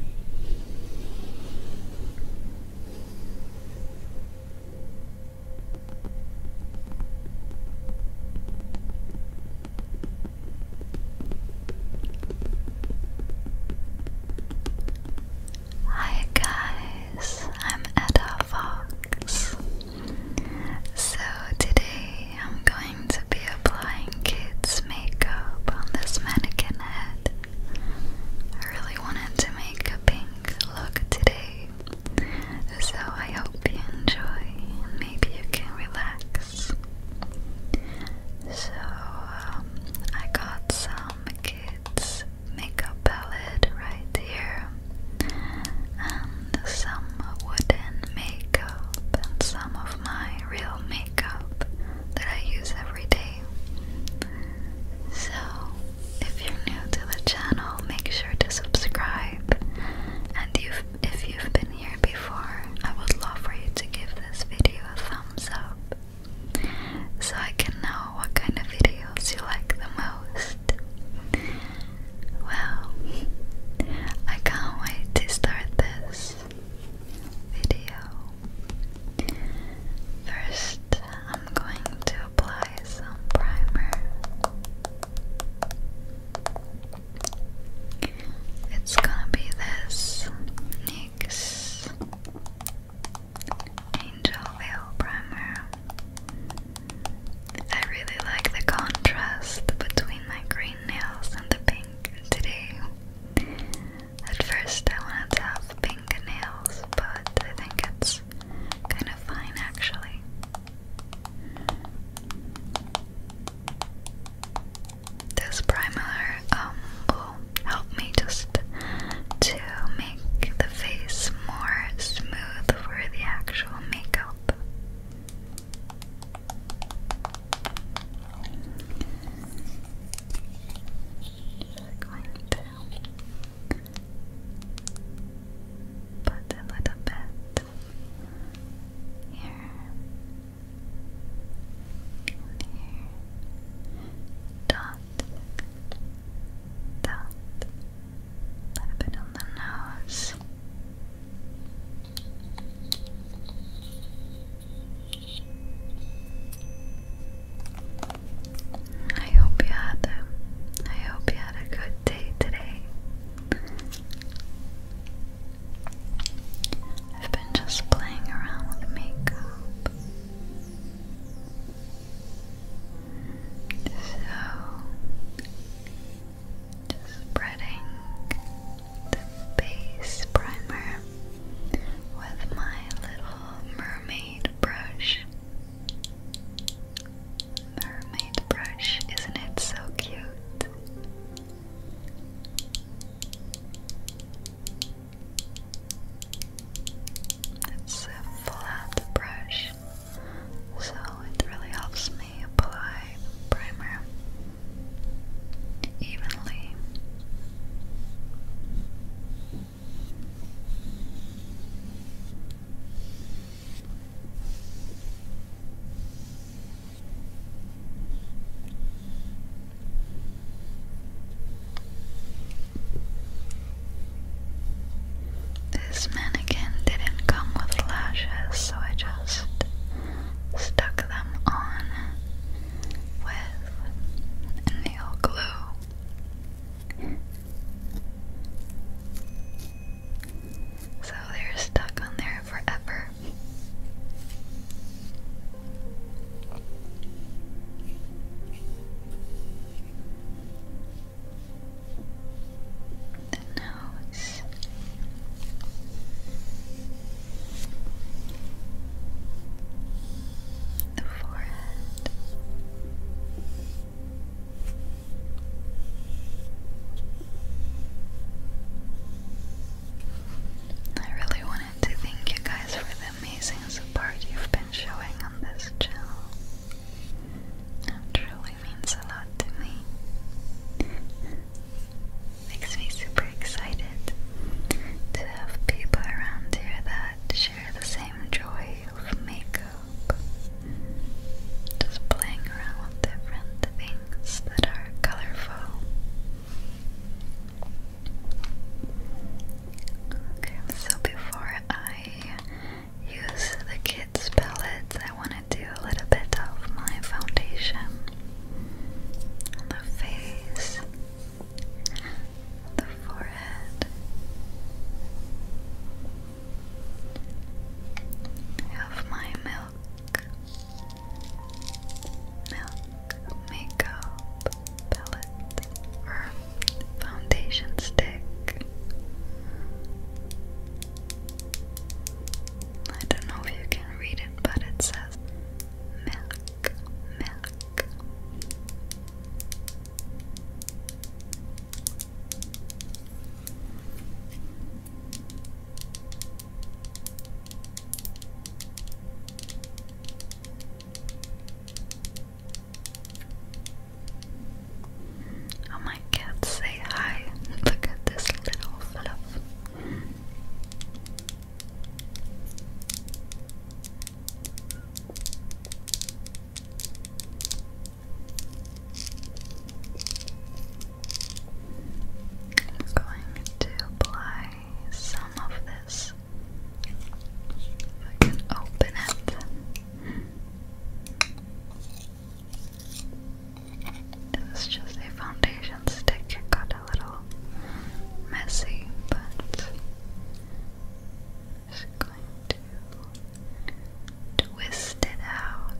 Hi guys, I'm Etta Fox. So today I'm going to be applying kids makeup on this mannequin head. I really wanted to make a pink look today, so I hope you enjoy maybe you can relax. So, um, I got some kids' makeup palette right here, and some wooden makeup, and some of my real makeup that I use every day. So, if you're new to the channel, make sure to subscribe. And you if you've been here before, I would love for you to give this video a thumbs up so I can know what kind of videos you like the most. Well, I can't wait to start this. First, I'm going to apply some primer. It's gonna be this NYX Angel Veil Primer. I really like the contrast between my green nails and the pink today. At first I wanted to have pink nails, but I think it's kind of fine actually. This primer um, will help me just to make the face more smooth for the actual makeup. We're going to put a little bit here here. Dot, dot, a bit on the nose. I hope you had a, I hope you had a good day today. I've been just playing around with makeup. So just spreading the base primer with my little mermaid brush. Mermaid brush, isn't it so cute? It's a flat brush, so it really helps me apply primer evenly this mannequin didn't come with lashes, so I just stuck them on with nail glue. So they're stuck on there forever. The nose the forehead. I really wanted to thank you guys for the amazing support you've been showing on this channel. It truly means a lot to me. Makes me super excited to have people around here that share the same joy of makeup. Just playing around with different things that are colorful. Okay, so before I use the kids' palettes, I want to do a little bit of my foundation on the face the forehead. I my milk, milk makeup palette or foundation stick. I don't know if you can read it, but it says milk, milk, Oh, my cats say hi. Look at this little fluff going to apply some of this. If I can open it. This is just a foundation stick. You got little messy, but just going to twist it out.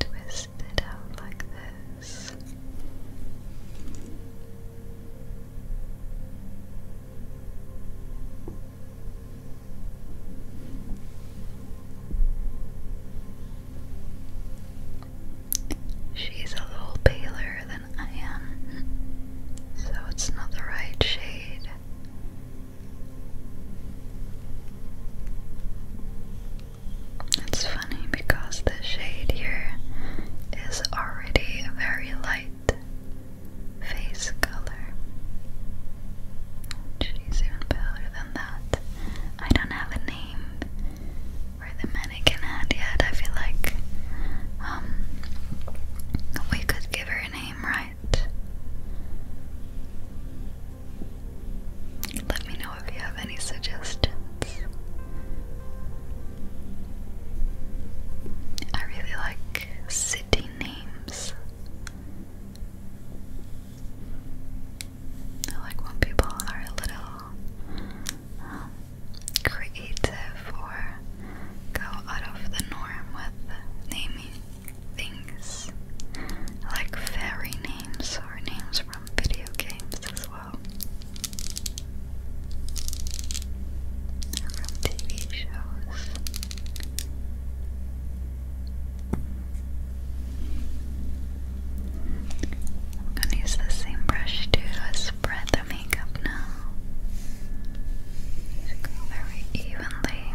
Twist it out like this. She's a little paler than I am, so it's not the right shade. It's funny because the shade here is already a very light face color. She's even paler than that. I don't have a name or the mannequin had yet. I feel like um, we could give her a name, right? Let me know if you have any suggestions. I really like city names. I like when people are a little um, creative or go out of the norm with naming things like fairy names or names from video games as well, from TV shows. I'm gonna use the same brush to spread the makeup now. very evenly.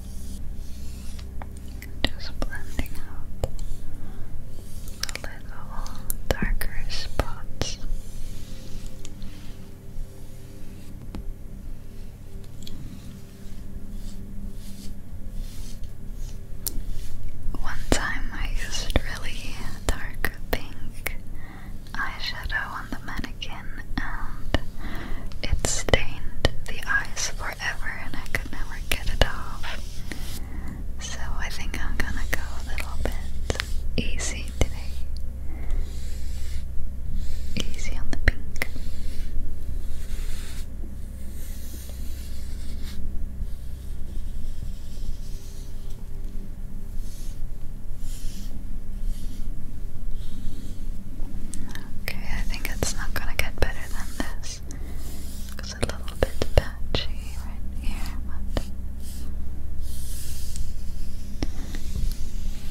Just blending out the little darker spots. One time I used really dark pink eyeshadow on the mannequin and it stained the eyes forever and I could never get it off. So I think I'm gonna go a little bit easy today. Easy on the pink. Okay, think it's not gonna get better than this. It's a little bit patchy right here,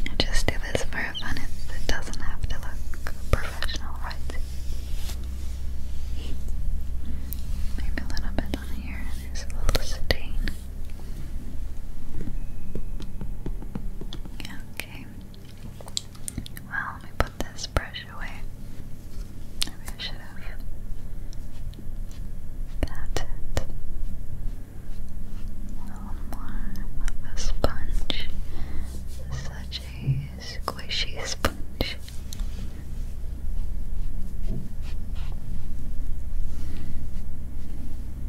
but just do this for fun. It, doesn't have to look professional, right? Maybe a little bit on here. There's a little stain. Okay. Well, let me put this brush away. Maybe I should have. That's it. One more with a sponge. Such a squishy sponge.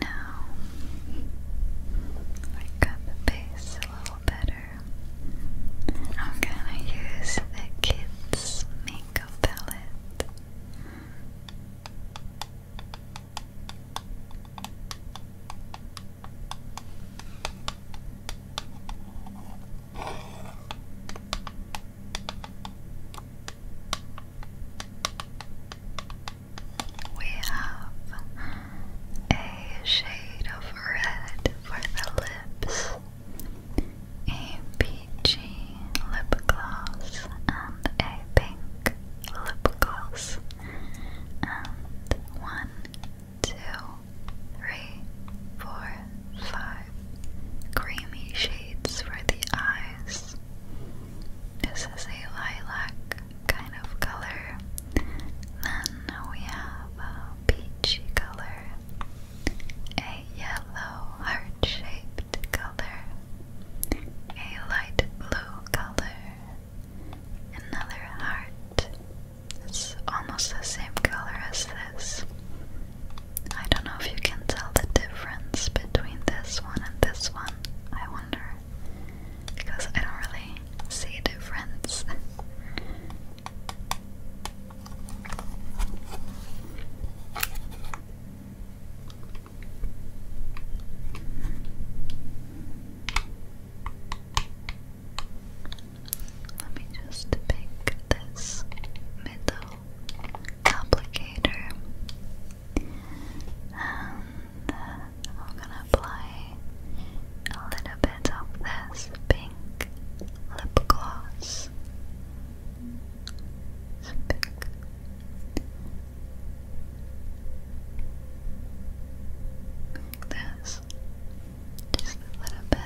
Now I got the base a little better. I'm gonna use the kids' makeup palette. We have a shade of red for the lips, a peachy lip gloss, and a pink lip gloss, and one two, three, four, five. Creamy shades for the eyes. This is a lilac kind of color. Then we have a peachy color, a yellow heart shaped color, a light blue color, another heart, it's almost the same color as this. I don't know if you can tell the difference between this one and this one. I wonder. Because I don't really see a difference. Let me just pick this middle applicator and I'm gonna apply a little bit of this pink lip gloss. It's this just a little bit.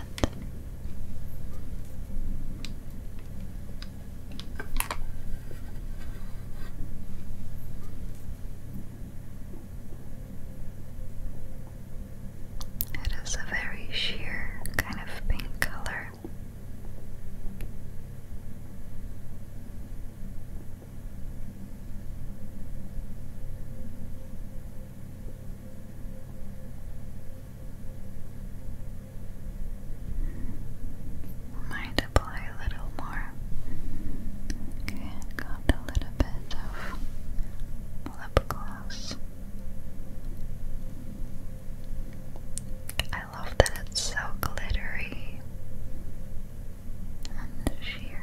It is a very sheer kind of pink color. Might apply a little more. Okay, got a little bit of lip gloss. I love that it's so glittery and sheer.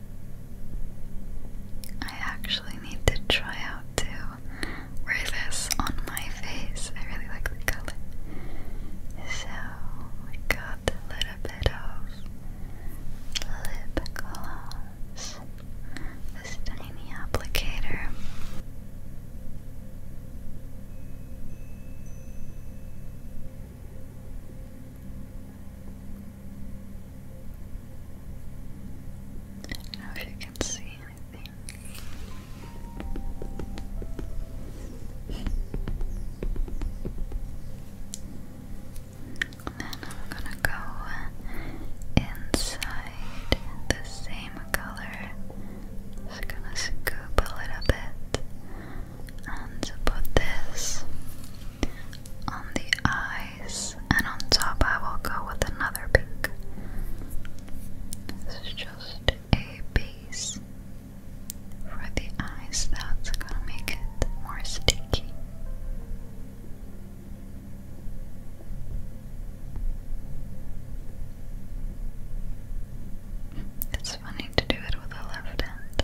I actually need to try out to wear this on my face. I really like the color. So we got a little bit of lip gloss. This tiny applicator. I don't know if you can see anything. And then I'm gonna go inside the same color. Just gonna scoop a little bit and put this on the eyes and on top I will go with another pink. This is just a base for the eyes that's gonna make it more sticky. It's funny to do it with a left hand.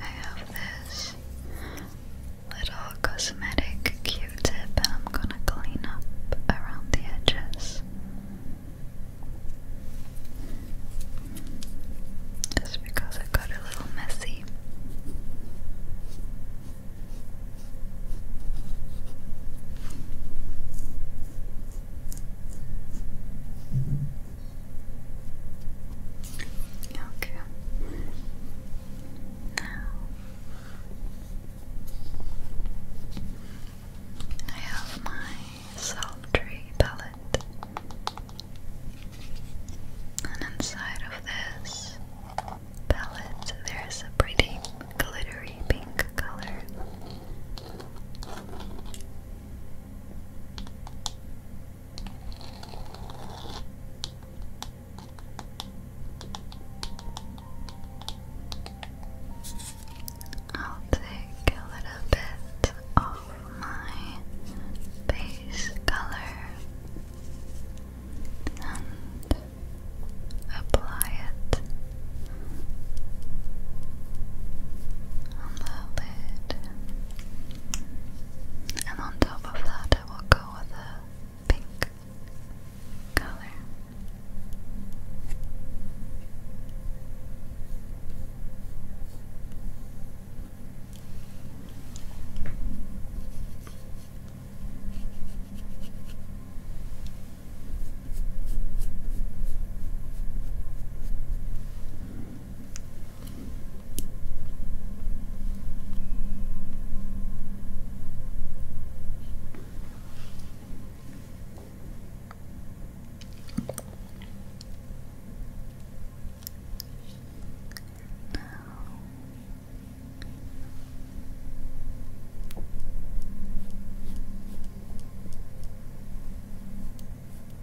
I have this little cosmetic Q-tip and I'm gonna clean up around the edges. Just because it got a little messy. Okay. Now I have my sultry palette, and inside of this palette there's a pretty glittery pink color. I'll take a little bit of my base color and apply it on the lid. And on top of that, I will go with a pink color. Now. Now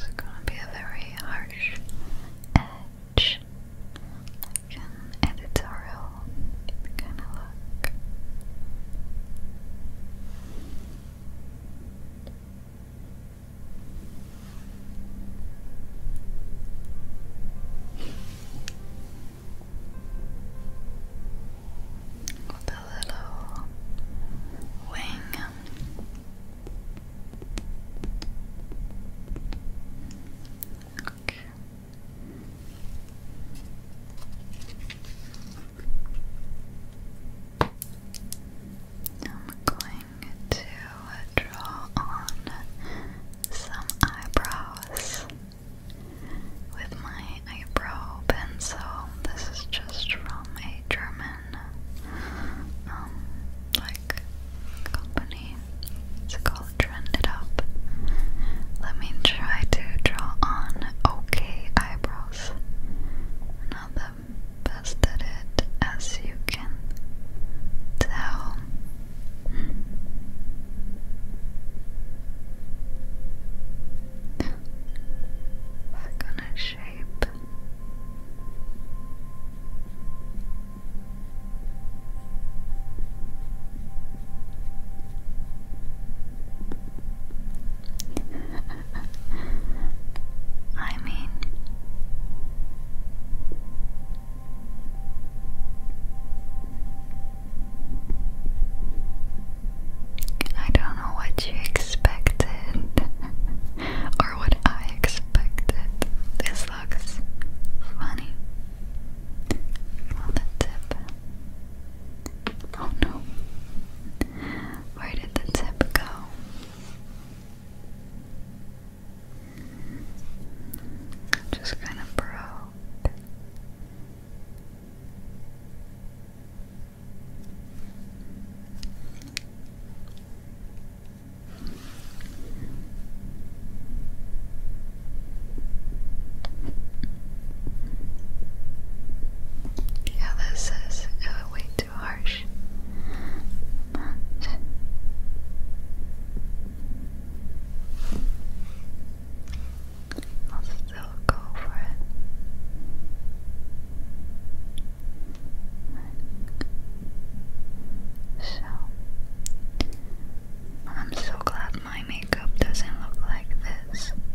It's gonna be a very harsh edge, like an editorial kind of look. With the little wing. I'm going to draw on some eyebrows with my eyebrow pencil. This is just from a German um, like company. It's called Trend Up. Let me try to draw on okay eyebrows. Not the best at it, as you can tell. We're gonna shape. I mean, I don't know what you expected or what I expected. This looks funny. On the tip. Oh no. Where did the tip go? Just kind of broke. Yeah, this is uh, way too harsh. I'll still go for it. So, I'm so glad my makeup doesn't look like this.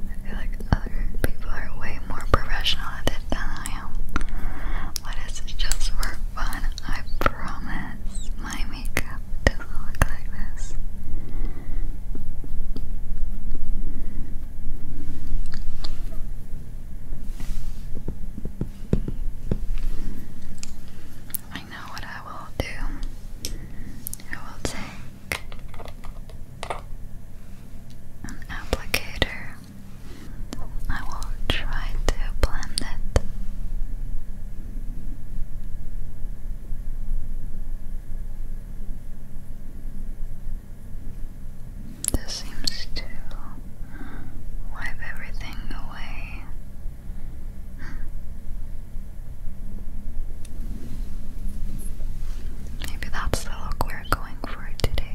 I feel like other people are way more professional at it than I am. But it's just for fun, I promise. My makeup doesn't look like this. I know what I will do. I will take an applicator. I will try to blend it. This seems to wipe everything away. Maybe that's the look we're going for today.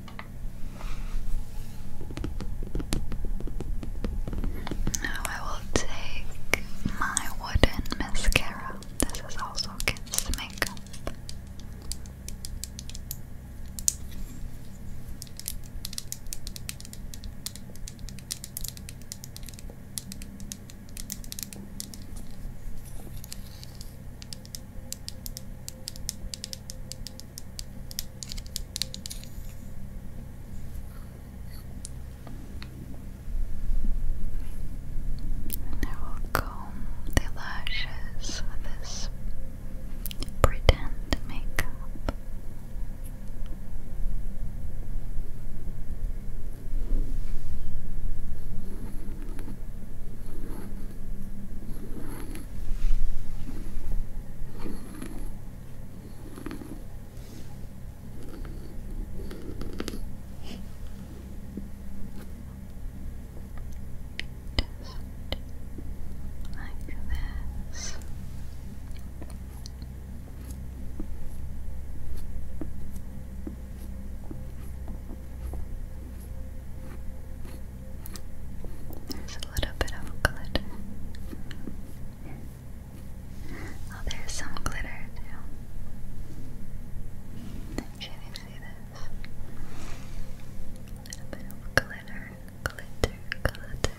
Now I will take my wooden mascara. This is also kids' makeup. And I will comb the lashes with this pretend makeup. Just like this. There's a little bit of glitter. Oh, there's some glitter too. Can you see this? A little bit of glitter, glitter, glitter.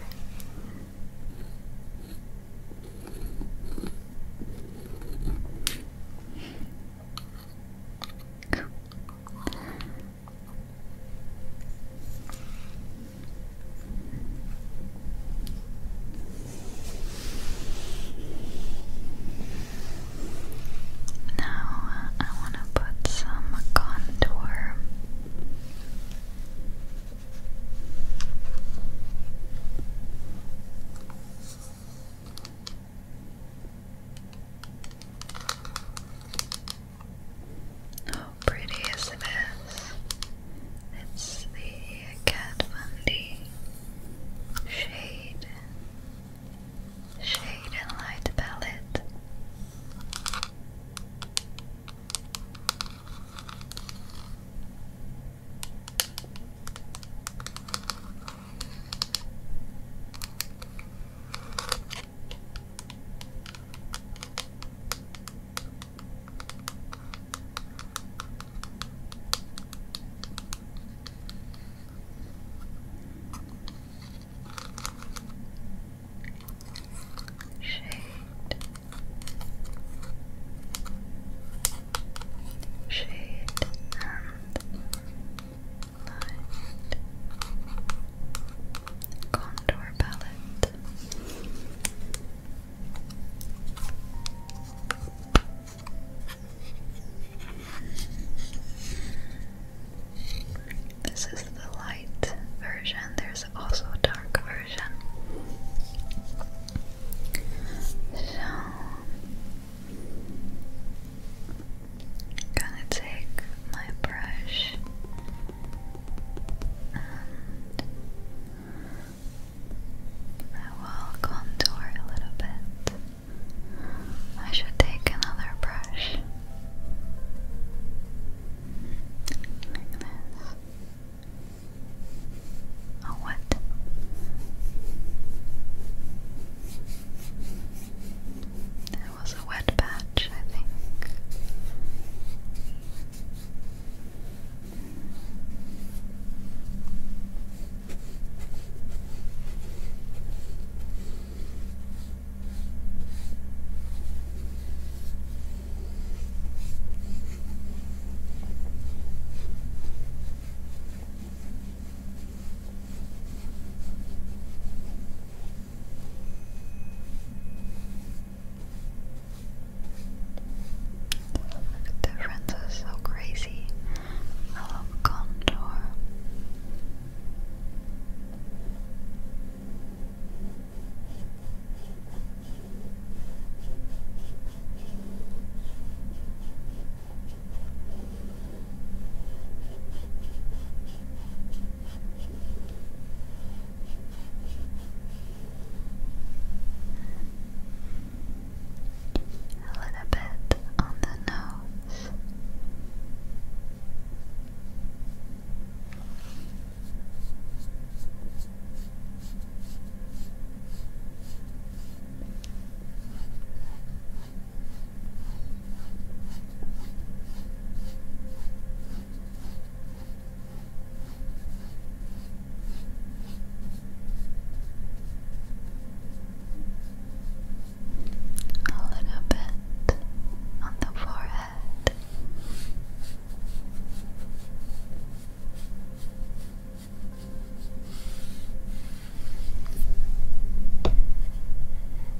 Now uh, I want to put some contour. How pretty as this? It's the Kat Von D shade, shade and light palette. Shade. Shade and light contour palette. This is the light version, there's also a dark version. So, gonna take my brush and I will contour a little bit. I should take another brush. Like this. Oh, what? There was a wet patch, I think. The difference is so crazy. I love contour. A little bit on the nose. A little bit on the forehead.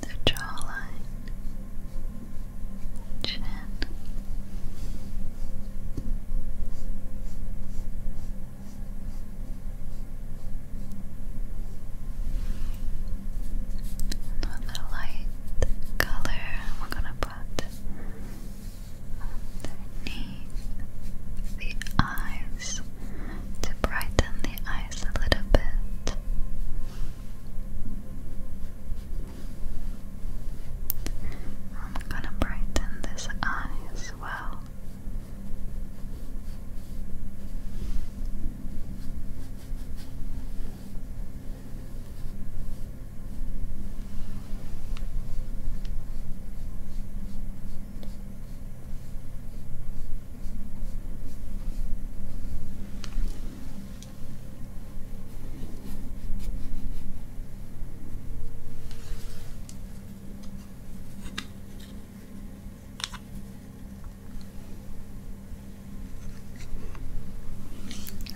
the jawline, chin. a light color, we're gonna put underneath the eyes to brighten the eyes a little bit. I'm gonna brighten this eye as well.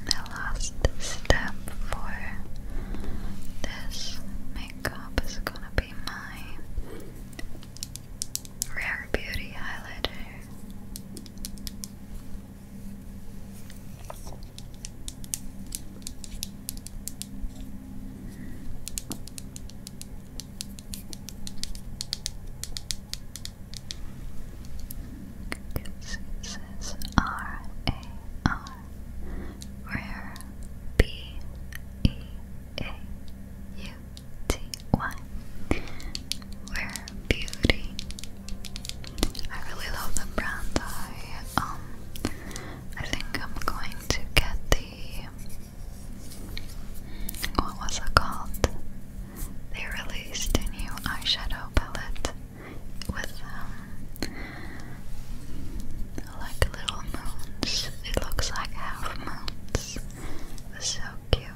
The last step for this makeup is gonna be my Rare Beauty highlighter. R A R Rare B E A U T-Y Where Beauty I really love the brand I, um, I think I'm going to get the, what was it called? They released a new eyeshadow palette with, um, like little moons. It looks like half moons. so cute.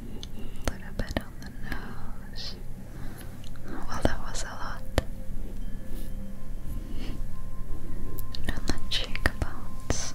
A little bit on the nose. Well, that was a lot. on the cheekbones.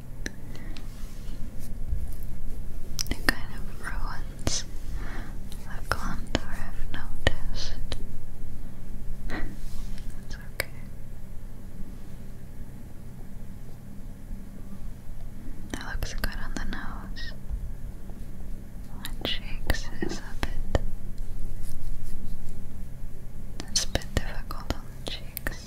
It kind of ruins the contour, I've noticed. That's okay. That looks good on the nose. My cheeks is a bit. a bit difficult on cheeks.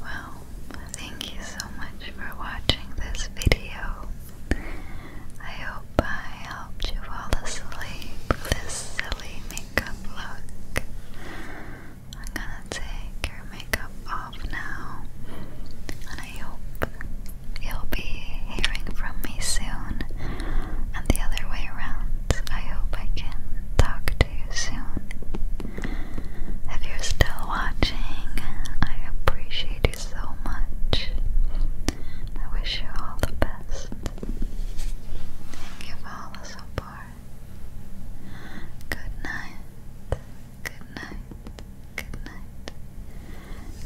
Well, thank you so much for watching this video. I hope I helped you fall asleep this silly makeup look. I'm gonna take your makeup off now, and I hope You'll be hearing from me soon, and the other way around. I hope I can talk to you soon. If you're still watching, I appreciate you so much. I wish you all the best. Thank you for all the support. Good night. Good night. Good night.